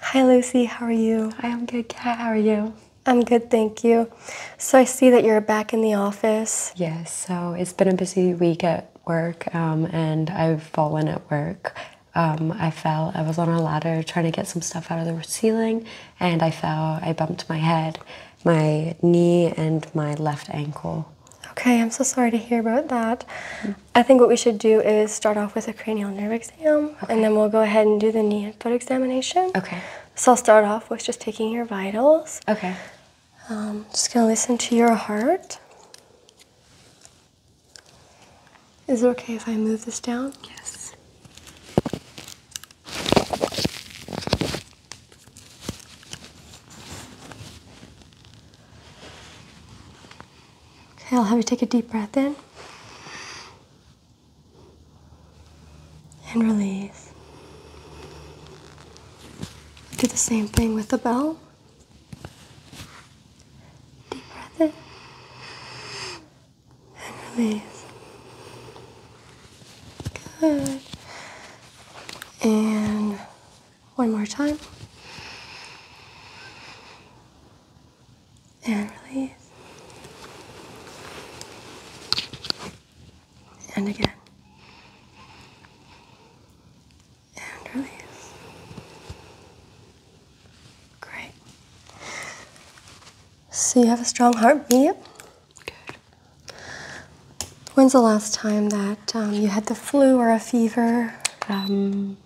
Hi Lucy, how are you? I am good, How are you? I'm good, thank you. So I see that you're back in the office. Yes, so it's been a busy week at work um, and I've fallen at work. Um, I fell, I was on a ladder trying to get some stuff out of the ceiling and I fell, I bumped my head, my knee and my left ankle. Okay, I'm so sorry to hear about that. I think what we should do is start off with a cranial nerve exam, and then we'll go ahead and do the knee and foot examination. Okay. So I'll start off with just taking your vitals. Okay. Um, just gonna listen to your heart. Is it okay if I move this down? Yes. Okay, I'll have you take a deep breath in and release. Do the same thing with the bell. Deep breath in and release. Good. And one more time and release. And again. And release. Great. So you have a strong heartbeat. Good. When's the last time that um, you had the flu or a fever? Um,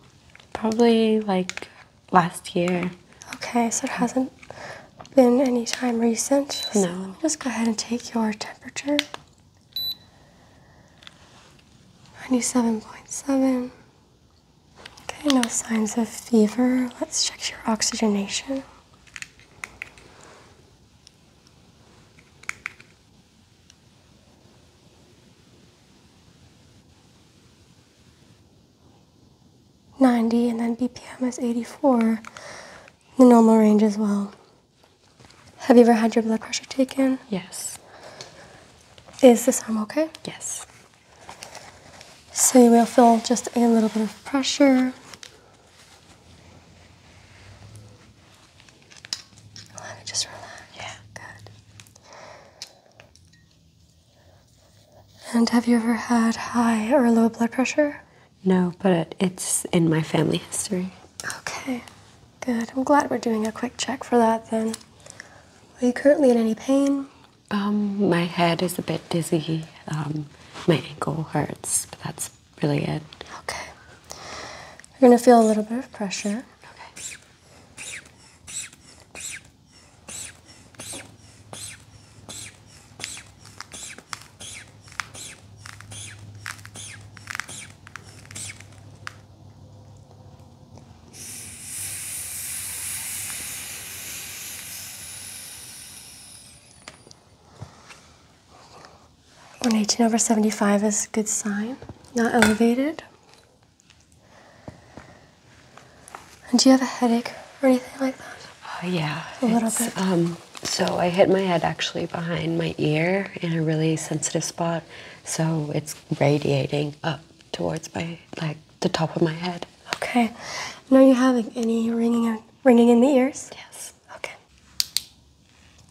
probably like last year. Okay, so it hasn't been any time recent. no. Let me just go ahead and take your temperature. 97.7. Okay, no signs of fever. Let's check your oxygenation. 90 and then BPM is 84, the normal range as well. Have you ever had your blood pressure taken? Yes. Is this arm okay? Yes. So you will feel just a little bit of pressure. Let it just relax. Yeah. Good. And have you ever had high or low blood pressure? No, but it's in my family history. Okay, good. I'm glad we're doing a quick check for that then. Are you currently in any pain? Um, my head is a bit dizzy. Um, my ankle hurts, but that's really it. Okay. You're gonna feel a little bit of pressure. Okay. 118 over 75 is good sign, not elevated. And do you have a headache or anything like that? Oh, yeah. A little bit. Um, so I hit my head actually behind my ear in a really sensitive spot. So it's radiating up towards my, like, the top of my head. Okay. No, you having any ringing, in, ringing in the ears? Yes. Okay.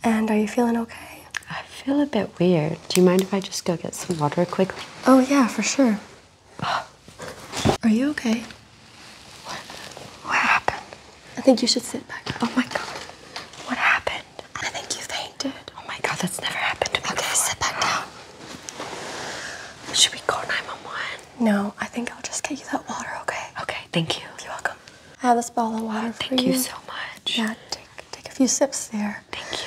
And are you feeling okay? I feel a bit weird. Do you mind if I just go get some water quickly? Oh, yeah, for sure. Are you okay? What? What happened? I think you should sit back. Oh my god. What happened? I think you fainted. Oh my god, that's never happened to me. Okay, before. sit back down. Should we call 911? No, I think I'll just get you that water, okay? Okay, thank you. You're welcome. I have this bottle of water Thank you so much. Yeah, take, take a few sips there. Thank you.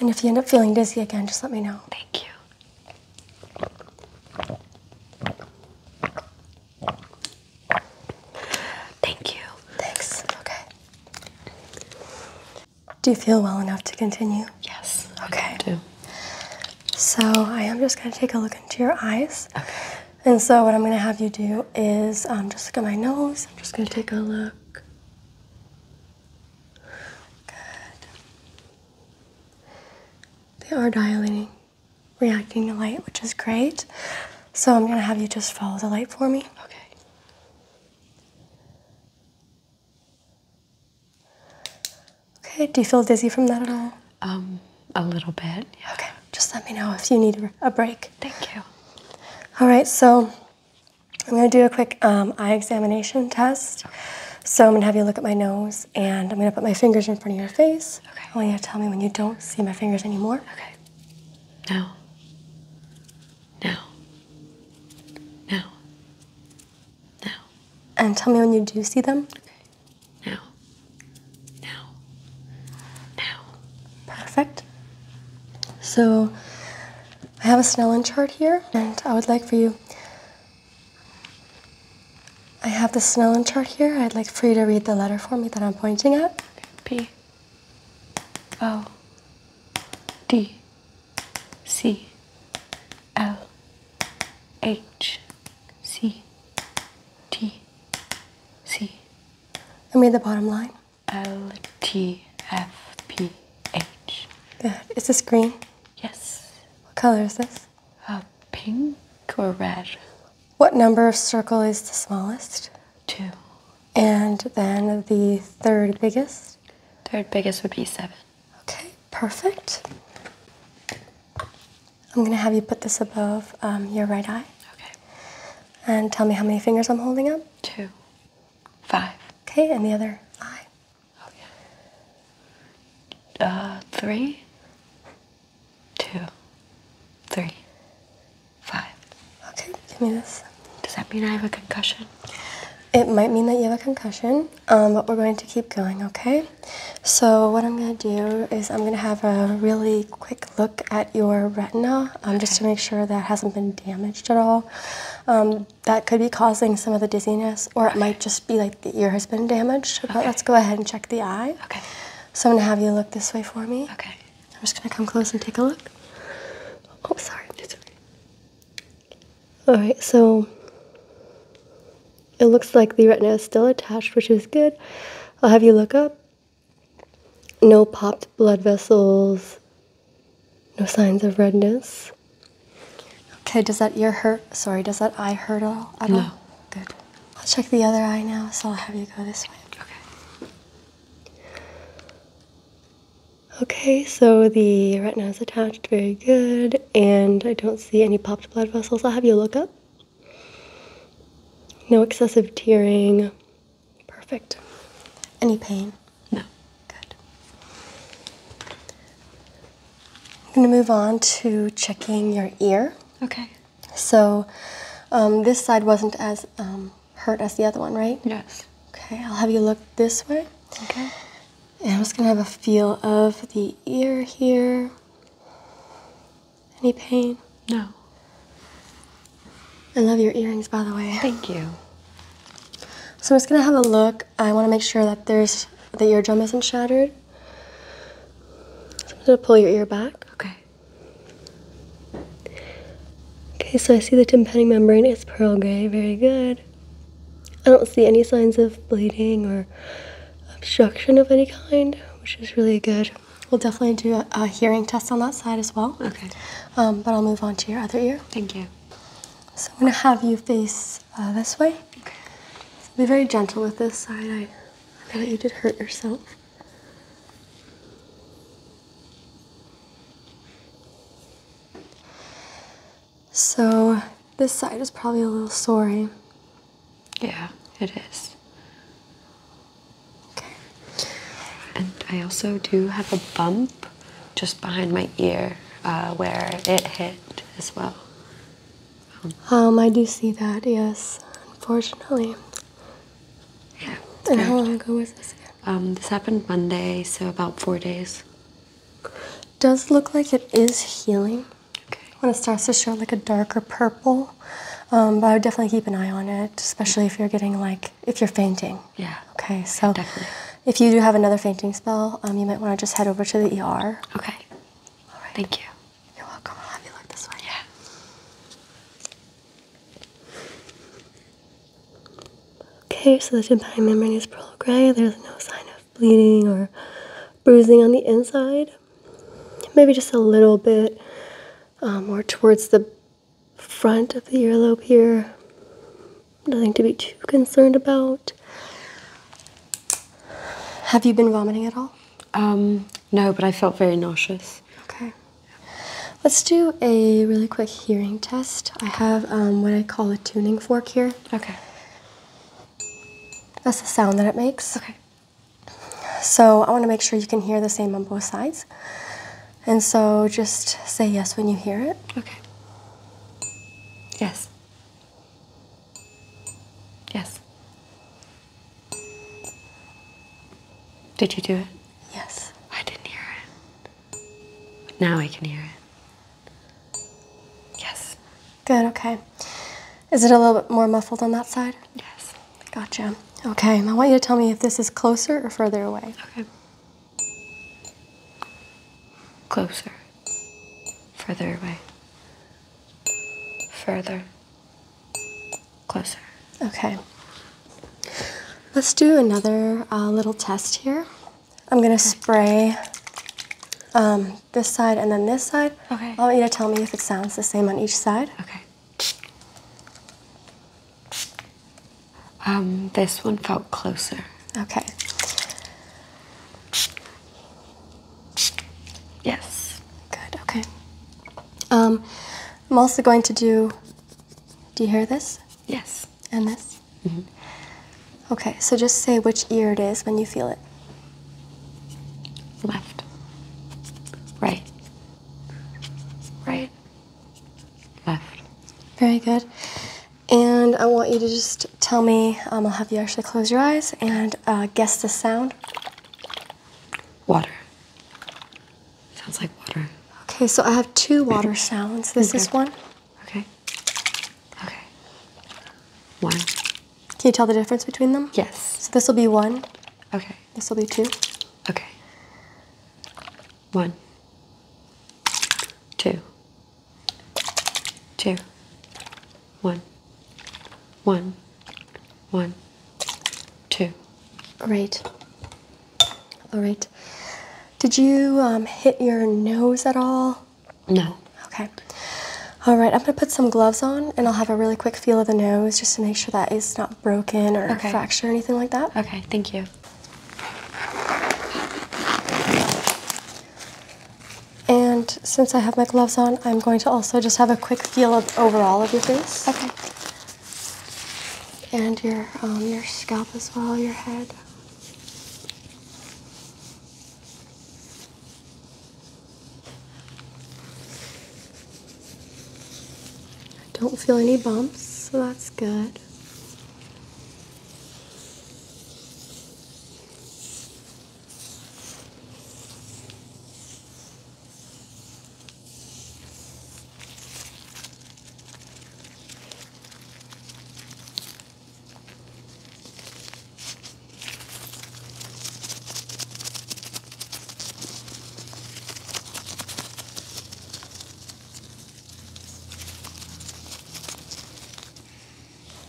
And if you end up feeling dizzy again, just let me know. Thank you. Thank you. Thanks. Okay. Do you feel well enough to continue? Yes. Okay. do. So I am just going to take a look into your eyes. Okay. And so what I'm going to have you do is um, just look at my nose. I'm just going to take a look. Good. They are dilating, reacting to light, which is great. So I'm gonna have you just follow the light for me. Okay. Okay, do you feel dizzy from that at all? Um, a little bit. Okay, just let me know if you need a break. Thank you. All right, so I'm going to do a quick um, eye examination test. So I'm going to have you look at my nose, and I'm going to put my fingers in front of your face. Okay. I want you to tell me when you don't see my fingers anymore. Okay. Now. Now. Now. No. And tell me when you do see them. Okay. No. No. No. Perfect. So I have a Snellen chart here, and I would like for you. I have the Snellen chart here. I'd like for you to read the letter for me that I'm pointing at. P. O. D. C. L. H. C. T. C. mean the bottom line. LTFPH. Good. Uh, is this green? Yes. What color is this? Uh, pink or red. What number of circle is the smallest? Two. And then the third biggest? Third biggest would be seven. Okay, perfect. I'm gonna have you put this above um, your right eye. Okay. And tell me how many fingers I'm holding up? Two. Five. Okay, and the other eye? Okay. Uh, three, two, three, five. Okay, give me this. Does that mean I have a concussion? It might mean that you have a concussion, um, but we're going to keep going, okay? So what I'm going to do is I'm going to have a really quick look at your retina um, just to make sure that hasn't been damaged at all. Um, that could be causing some of the dizziness, or it might just be like the ear has been damaged. But uh, let's go ahead and check the eye. Okay. So I'm gonna have you look this way for me. Okay. I'm just gonna come close and take a look. Oh, sorry. It's okay. All right. So it looks like the retina is still attached, which is good. I'll have you look up. No popped blood vessels, no signs of redness. Okay, does that ear hurt? Sorry, does that eye hurt at all? no. Good. I'll check the other eye now, so I'll have you go this way. Okay. Okay, so the retina is attached, very good, and I don't see any popped blood vessels. I'll have you look up. No excessive tearing, Perfect. Any pain? No. Good. I'm going to move on to checking your ear. Okay. So um, this side wasn't as um, hurt as the other one, right? Yes. Okay, I'll have you look this way. Okay. And I'm just going to have a feel of the ear here. Any pain? No. I love your earrings, by the way. Thank you. So I'm just gonna have a look. I wanna make sure that there's the eardrum isn't shattered. So I'm gonna pull your ear back. Okay. Okay, so I see the tympanic membrane is pearl gray, very good. I don't see any signs of bleeding or obstruction of any kind, which is really good. We'll definitely do a, a hearing test on that side as well. Okay. Um, but I'll move on to your other ear. Thank you. So I'm going to have you face uh, this way. Okay. be very gentle with this side. I, I know you did hurt yourself. So this side is probably a little sore. Eh? Yeah, it is. Okay. And I also do have a bump just behind my ear uh, where it hit as well. Um, I do see that, yes, unfortunately. Yeah. And how long ago was this? Um, this happened Monday, so about four days. Does look like it is healing. Okay. When it starts to show like a darker purple, um, but I would definitely keep an eye on it, especially if you're getting like if you're fainting. Yeah. Okay, so Definitely. if you do have another fainting spell, um, you might want to just head over to the ER. Okay. All right. Thank you. You're welcome. I'll have you look this way. Yeah. Okay, so the tympanic membrane is pearl gray. There's no sign of bleeding or bruising on the inside. Maybe just a little bit um, more towards the front of the earlobe here. Nothing to be too concerned about. Have you been vomiting at all? Um, no, but I felt very nauseous. Okay. Let's do a really quick hearing test. I have um, what I call a tuning fork here. Okay. That's the sound that it makes. Okay. So I want to make sure you can hear the same on both sides. And so just say yes when you hear it. Okay. Yes. Yes. Did you do it? Yes. I didn't hear it. now I can hear it. Yes. Good, okay. Is it a little bit more muffled on that side? Yes. Gotcha. Okay, I want you to tell me if this is closer or further away. Okay. Closer. Further away. Further. Closer. Okay. Let's do another uh, little test here. I'm gonna spray um, this side and then this side. Okay. I want you to tell me if it sounds the same on each side. Okay. Um, this one felt closer. Okay. Yes. Good, okay. Um, I'm also going to do. Do you hear this? Yes. And this? -hmm. Okay, so just say which ear it is when you feel it. Left. Right. Right. Left. Very good. And I want you to just tell me, um, I'll have you actually close your eyes and uh, guess the sound. Water. Sounds like water. Okay, so I have two water sounds. This is one. Okay. Okay. One. Can you tell the difference between them? Yes. So this will be one. Okay. This will be two. Okay. One, two, two, one, one, one, two. Great. All right. Did you um, hit your nose at all? No. Okay. All right, I'm gonna put some gloves on and I'll have a really quick feel of the nose just to make sure that it's not broken or fractured or anything like that. Okay, thank you. And since I have my gloves on, I'm going to also just have a quick feel of overall of your face. Okay. And your um, your scalp as well, your head. I don't feel any bumps, so that's good.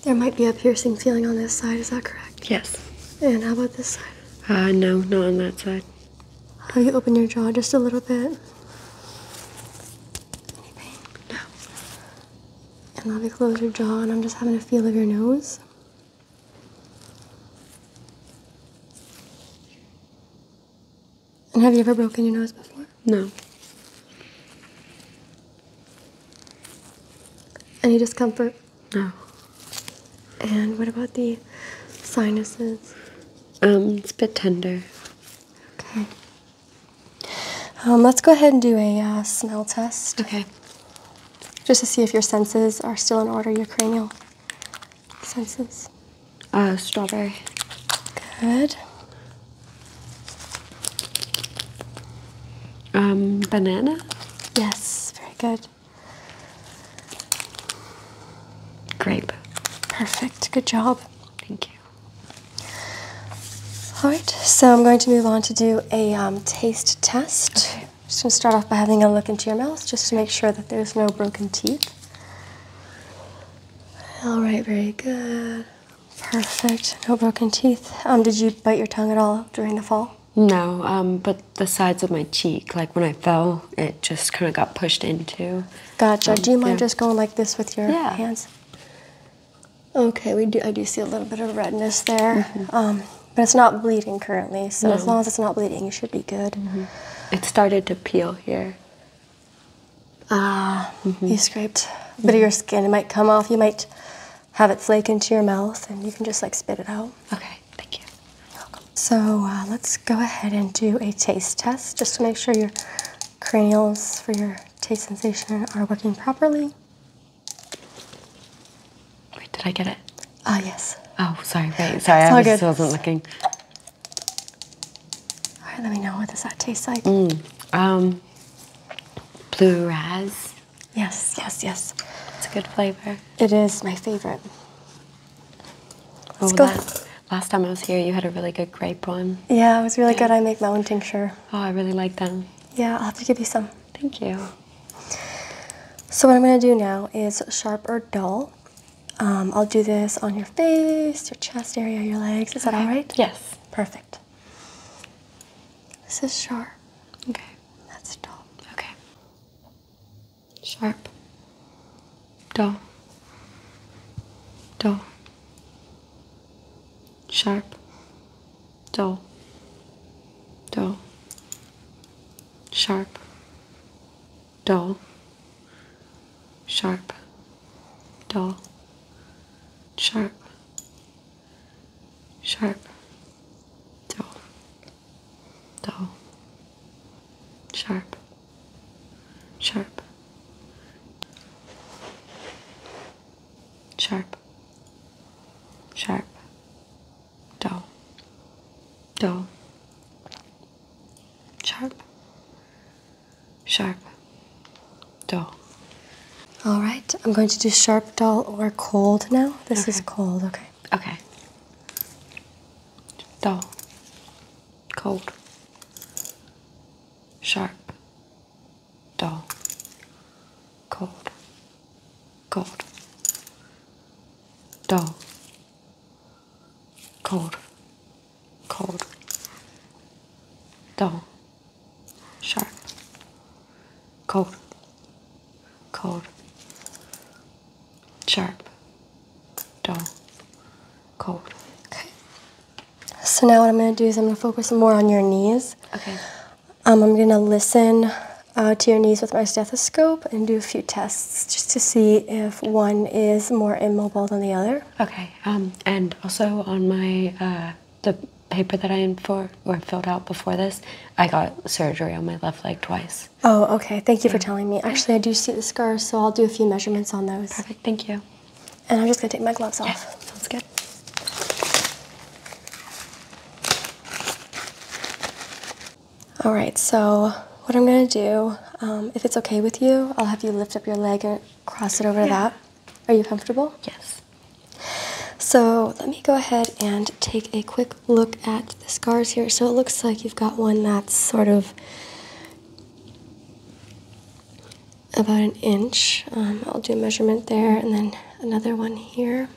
There might be a piercing feeling on this side, is that correct? Yes. And how about this side? Uh, no, not on that side. How you open your jaw just a little bit? Any pain? No. And let me close your jaw, and I'm just having a feel of your nose. And have you ever broken your nose before? No. Any discomfort? No. And what about the sinuses? Um, it's a bit tender. Okay. Um, let's go ahead and do a uh, smell test. Okay. Just to see if your senses are still in order, your cranial Senses? Uh, strawberry. Good. Um, banana? Yes, very good. Grape. Perfect, good job. Thank you. All right, so I'm going to move on to do a um, taste test. Okay. Just gonna start off by having a look into your mouth just to make sure that there's no broken teeth. All right, very good. Perfect. No broken teeth. Um, did you bite your tongue at all during the fall? No, um, but the sides of my cheek, like when I fell, it just kind of got pushed into. Gotcha. Um, do you mind just going like this with your hands? Okay, we do. I do see a little bit of redness there, mm-hmm. but it's not bleeding currently. So as long as it's not bleeding, you should be good. Mm-hmm. It started to peel here. Ah, mm-hmm. you scraped a bit of your skin. It might come off. You might have it flake into your mouth, and you can just like spit it out. Okay, thank you. Welcome. So uh, let's go ahead and do a taste test just to make sure your cranials for your taste sensation are working properly. Wait, did I get it? Ah, yes. Oh, sorry. Wait, sorry, I just wasn't looking. All right, let me know. What does that taste like? Mm, um, blue raz. Yes, yes, yes. It's a good flavor. It is my favorite. oh, go. Last, time I was here, you had a really good grape one. Yeah, it was really good. I make my own tincture. Oh, I really like them. Yeah, I'll have to give you some. Thank you. So what I'm going to do now is sharp or dull. Um, I'll do this on your face, your chest area, your legs. Is that all right? Yes. Perfect. This is sharp. Okay. That's dull. Okay. Sharp. Dull. Dull. Sharp. Dull. Dull. Sharp dull, sharp, dull, sharp, sharp, dull, dull, sharp, sharp, sharp, sharp, dull, dull, Sharp. Sharp. Dull. All right, I'm going to do sharp, dull, or cold now. This is cold, okay. Okay. Dull. Cold. Sharp. Dull. Cold. Cold. Dull cold, cold, dull, sharp, cold, cold, sharp, dull, cold. Okay. So now what I'm going to do is I'm going to focus more on your knees. Okay. Um, I'm going to listen uh, to your knees with my stethoscope and do a few tests just to see if if one is more immobile than the other. Okay. Um, and also on my uh, the paper that I in for or filled out before this, I got surgery on my left leg twice. Oh, okay. Thank you for telling me. Actually, I do see the scars, so I'll do a few measurements on those. Perfect. Thank you. And I'm just gonna take my gloves off. Sounds good. All right, so what I'm gonna do, um, if it's okay with you, I'll have you lift up your leg and cross it over to that. Are you comfortable? Yes. So let me go ahead and take a quick look at the scars here. So it looks like you've got one that's sort of about an inch. Um, I'll do a measurement there and then another one here.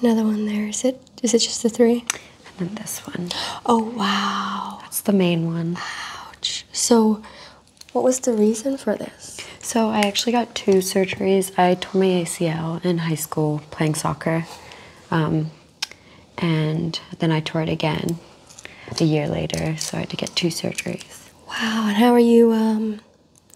Another one there. Is it is it just the three? And then this one. Oh wow. That's the main one. Ouch. So what was the reason for this? So I actually got two surgeries. I tore my ACL in high school playing soccer. Um, and then I tore it again a year later, so I had to get two surgeries. Wow, and how are you um,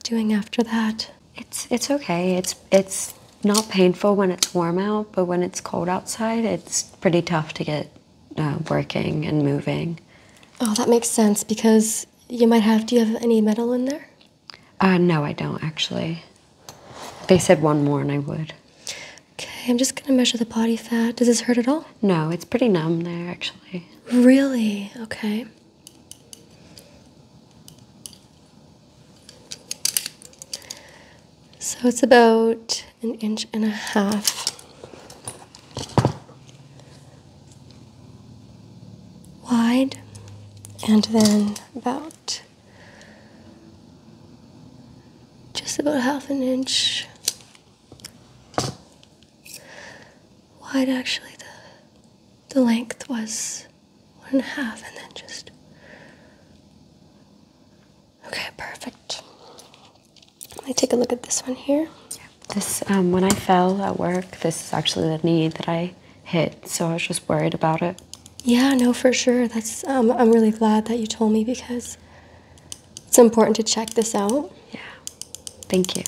doing after that? It's it's okay. It's it's not painful when it's warm out, but when it's cold outside, it's pretty tough to get uh, working and moving. Oh, that makes sense because you might have. Do you have any metal in there? Uh, no, I don't actually. They said one more and I would. Okay, I'm just gonna measure the body fat. Does this hurt at all? No, it's pretty numb there actually. Really? Okay. So it's about an inch and a half. wide and then about just about half an inch wide actually the the length was one and a half, and then just. Okay, perfect. Let me take a look at this one here. This, um, when I fell at work, this is actually the knee that I hit, so I was just worried about it. Yeah, no, for sure. That's um, I'm really glad that you told me because it's important to check this out. Yeah. Thank you.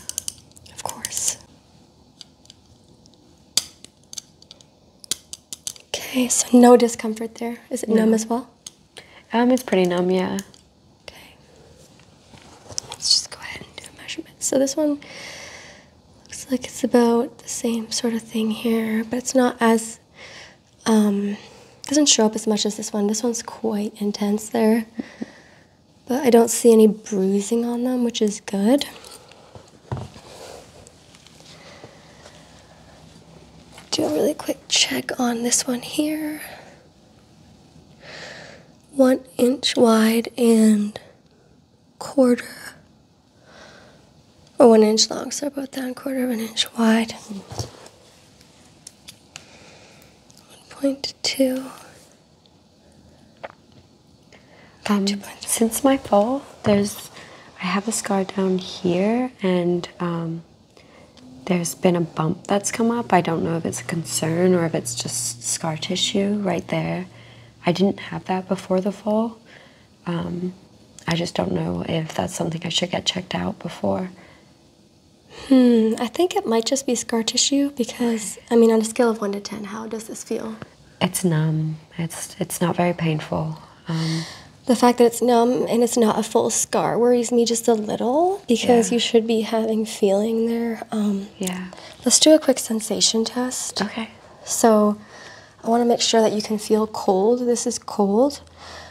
Of course. Okay, so no discomfort there. Is it numb as well? Um, it's pretty numb, yeah. Okay. Let's just go ahead and do a So this one looks like it's about the same sort of thing here, but it's not as um, doesn't show up as much as this one. This one's quite intense there. Mm-hmm. But I don't see any bruising on them, which is good. Do a really quick check on this one here. One inch wide and quarter or one inch long, so about that quarter of an inch wide. 1.2 um, since my fall, there's I have a scar down here, and um, there's been a bump that's come up. I don't know if it's a concern or if it's just scar tissue right there. I didn't have that before the fall. Um, I just don't know if that's something I should get checked out before. Hmm, I think it might just be scar tissue because, I mean, on a scale of 1 to 10, how does this feel? It's numb. It's it's not very painful. Um, the fact that it's numb and it's not a full scar worries me just a little because you should be having feeling there. Um, yeah. Let's do a quick sensation test. Okay. So I want to make sure that you can feel cold. This is cold.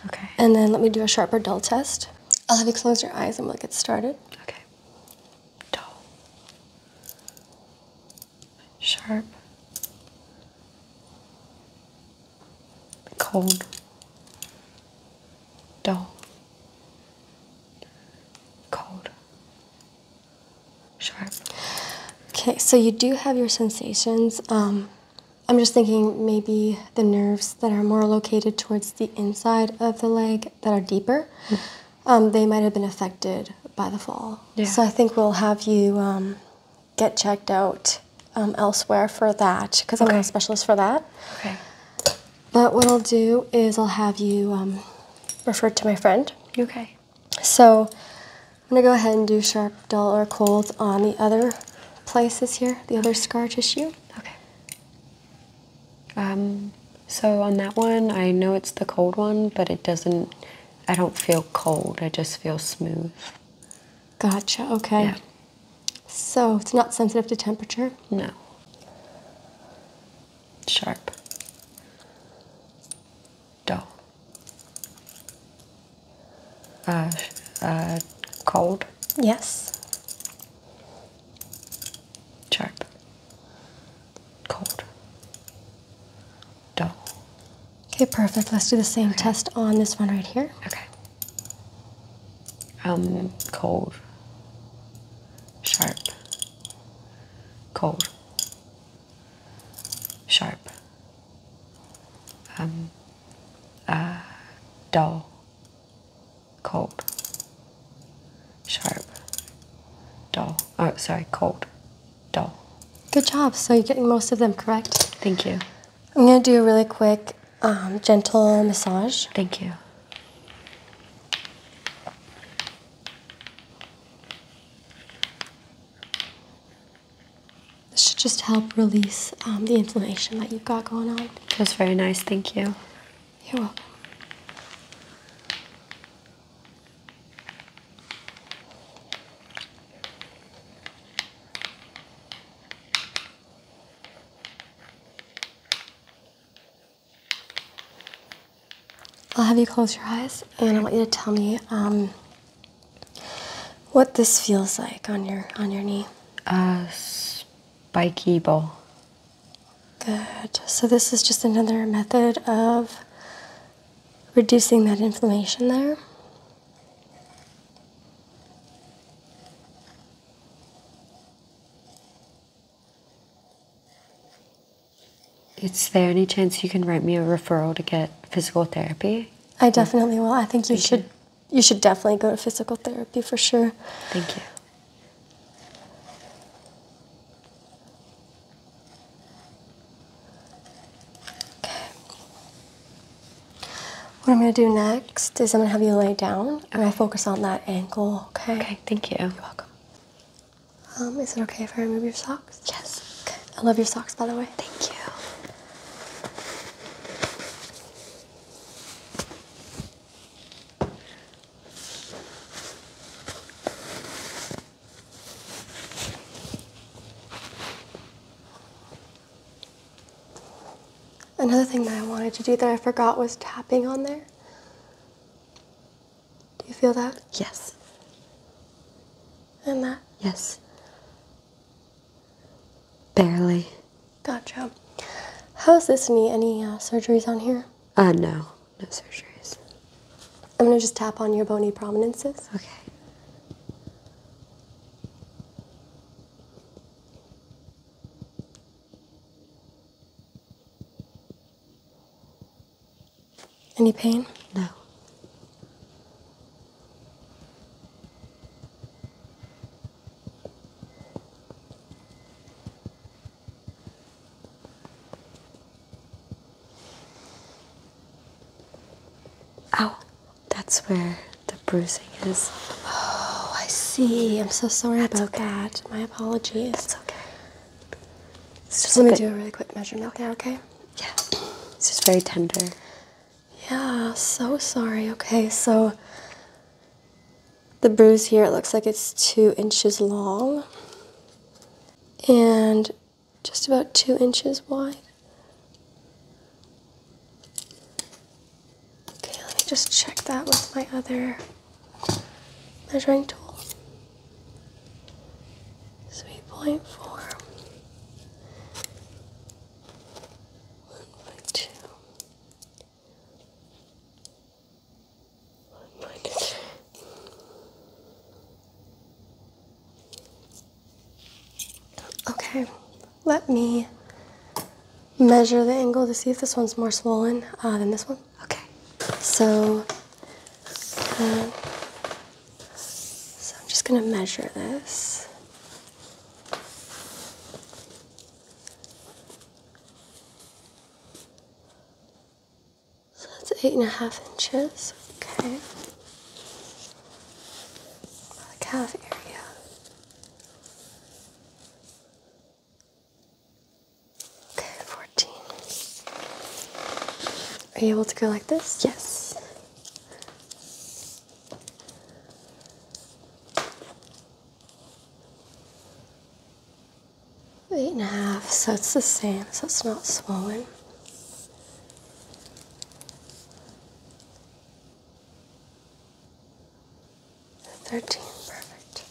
Okay. And then let me do a sharp or dull test. I'll have you close your eyes and we'll get started. Okay. Dull sharp, cold, dull, cold, sharp. Okay, so you do have your sensations. Um, I'm just thinking maybe the nerves that are more located towards the inside of the leg that are deeper, mm. um, they might have been affected by the fall. So I think we'll have you um, get checked out um, elsewhere for that because I'm not a specialist for that. Okay. But what I'll do is I'll have you um, referred to my friend. Okay. So I'm gonna go ahead and do sharp, dull, or cold on the other places here, the other scar tissue. Okay. Um, so on that one, I know it's the cold one, but it doesn't I don't feel cold. I just feel smooth. Gotcha. Okay. So it's not sensitive to temperature? No. Sharp. Dull. Uh, uh, cold? Yes. Sharp. Cold dough. Okay, perfect. Let's do the same test on this one right here. Okay. Um, cold. Sharp. Cold. Sharp. Um, uh, dull. Cold. Sharp. Dull. Oh, sorry, cold dough. Good job. So you're getting most of them correct. Thank you. I'm going to do a really quick, um, gentle massage. Thank you. This should just help release um, the inflammation that you've got going on. It was very nice. Thank you. You're welcome. I'll have you close your eyes and I want you to tell me um, what this feels like on your on your knee. Uh, spiky ball. Good. So this is just another method of reducing that inflammation there. Is there any chance you can write me a referral to get physical therapy? I definitely will. I think you should you should definitely go to physical therapy for sure. Thank you. Okay. What I'm going to do next is I'm going to have you lay down and I focus on that ankle, okay? Okay, thank you. You're welcome. Um, is it okay if I remove your socks? Yes. Okay. I love your socks, by the way. Thank you. Another thing that I wanted to do that I forgot was tapping on there. Do you feel that? Yes. And that? Yes. Barely. Gotcha. How's this knee? Any uh, surgeries on here? Uh, no. No surgeries. I'm going to just tap on your bony prominences. Okay. Any pain? No. Ow, oh, that's where the bruising is. Oh, I see. I'm so sorry about that. My apologies. That's okay. just let me do a really quick measurement there, okay? Yeah. It's just very tender. Yeah, so sorry. Okay, so the bruise here, it looks like it's two inches long. And just about two inches wide. Okay, let me just check that with my other measuring tool. So 8.4. Okay, let me measure the angle to see if this one's more swollen uh, than this one. Okay, so, uh, so I'm just gonna measure this. So that's eight and a half inches. Okay. calf area. Okay, 14. Are you able to go like this? Yes. Eight and a half, so it's the same, so it's not swollen. 13, perfect.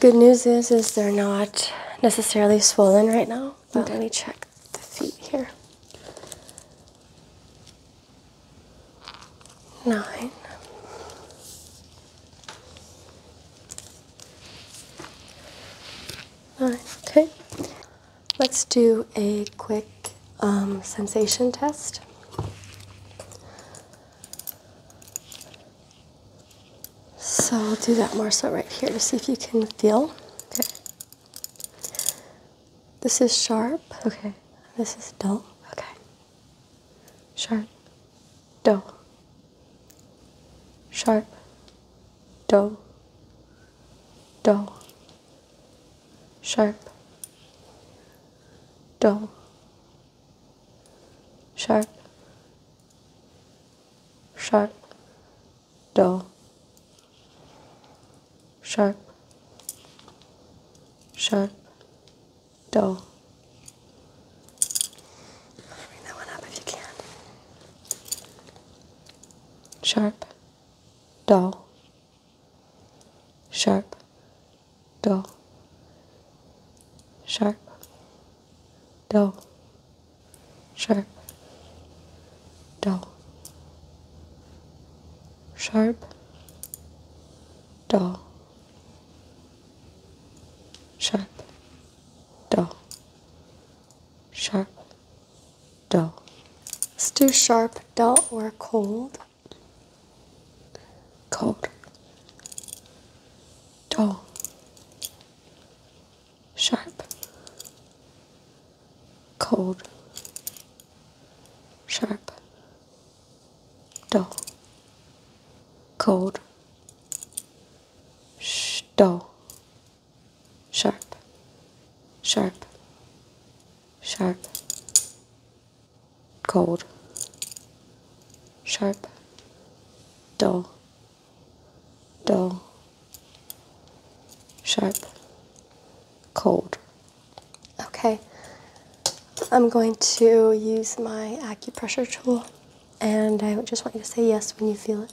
Good news is, is they're not necessarily swollen right now, let me check the feet here. Nine okay, let's do a quick um, sensation test. So I'll do that more so right here to see if you can feel. Okay. This is sharp. Okay. This is dull. Okay. Sharp. Dull sharp, Dull. Dull. sharp, Dull. sharp, sharp, Dull. sharp, sharp, Dull. Bring that one up if you can sharp, dull, sharp, dull, sharp, dull, sharp, dull, sharp, dull, sharp, dull, sharp, dull. let sharp, dull, or cold. Cold, dull, sharp, cold, sharp, dull, cold, sh dull sharp, sharp, sharp, cold, sharp, dull, dull, sharp, cold. Okay, I'm going to use my acupressure tool and I just want you to say yes when you feel it.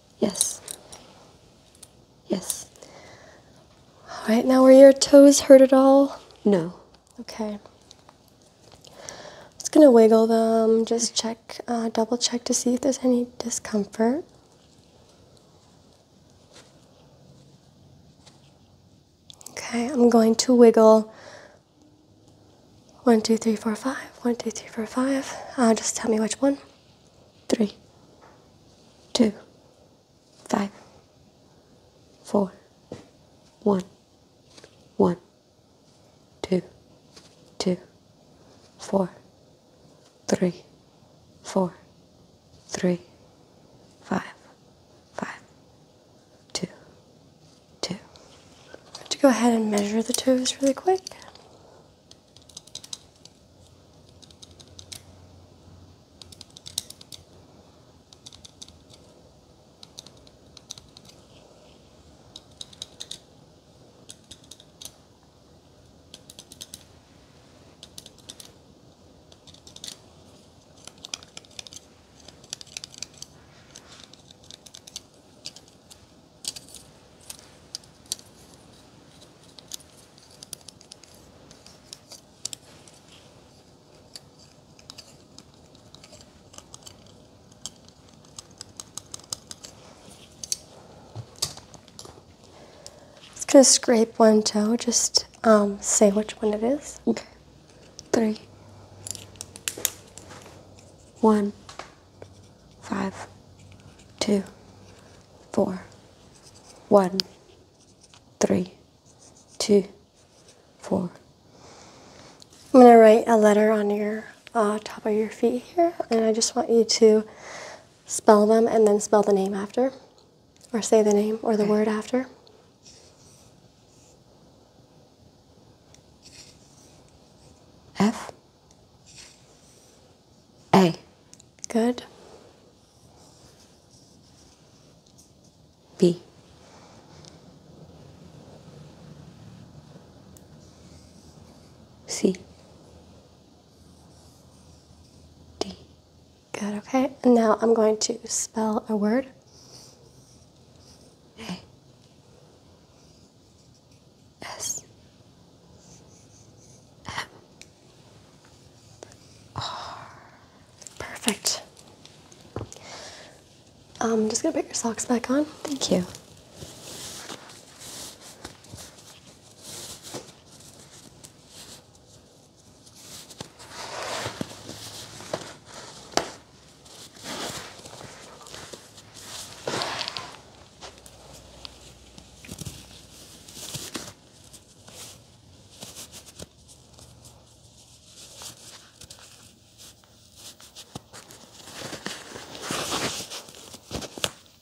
Yes. Yes. All right, now were your toes hurt at all? No. Okay. Just gonna wiggle them, just check, uh, double check to see if there's any discomfort. Okay, I'm going to wiggle one, two, three, four, five. One, two, three, four, five. Uh, just tell me which one. Three. Three. Three. Two. Two. Two. Five. Five. Five. Four. Four. Four. One. One. Two to go ahead and measure the toes really quick i just gonna scrape one toe, just um, say which one it is. Okay. Three. One five, two, four, one, three, two, four. I'm going to write a letter on your uh, top of your feet here, and I just want you to spell them and then spell the name after, or say the name or the word after. F a. Good. B. C. D. Good, okay. now I'm going to spell a word. A. S M um, R. Perfect. I'm um, just gonna put your socks back on. Thank you.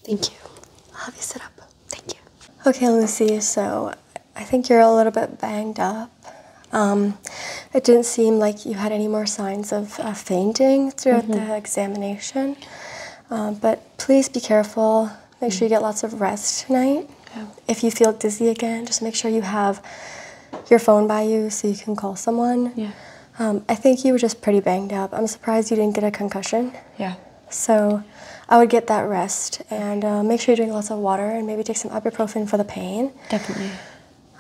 Thank you. I'll have you sit up. Thank you. Okay, Lucy, so I think you're a little bit banged up. Um, it didn't seem like you had any more signs of fainting throughout the mm-hmm. examination. Um, but please be careful. Make sure you get lots of rest tonight. If you feel dizzy again, just make sure you have your phone by you so you can call someone. Yeah. Um, I think you were just pretty banged up. I'm surprised you didn't get a concussion. Yeah. So I would get that rest and uh, make sure you drink lots of water and maybe take some ibuprofen for the pain. Definitely.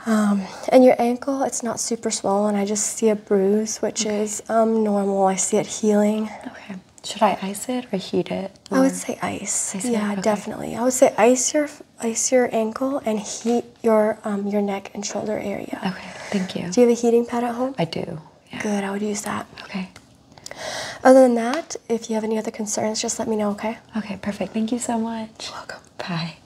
Um, and your ankle, it's not super swollen. I just see a bruise, which is um, normal. I see it healing. Okay. Should I ice it or heat it? I would say ice. ice yeah, definitely. I would say ice your ice your ankle and heat your um, your neck and shoulder area. Okay. Thank you. Do you have a heating pad at home? I do. Good. I would use that. Okay. Other than that, if you have any other concerns, just let me know. Okay. Okay. Perfect. Thank you so much. welcome. Bye.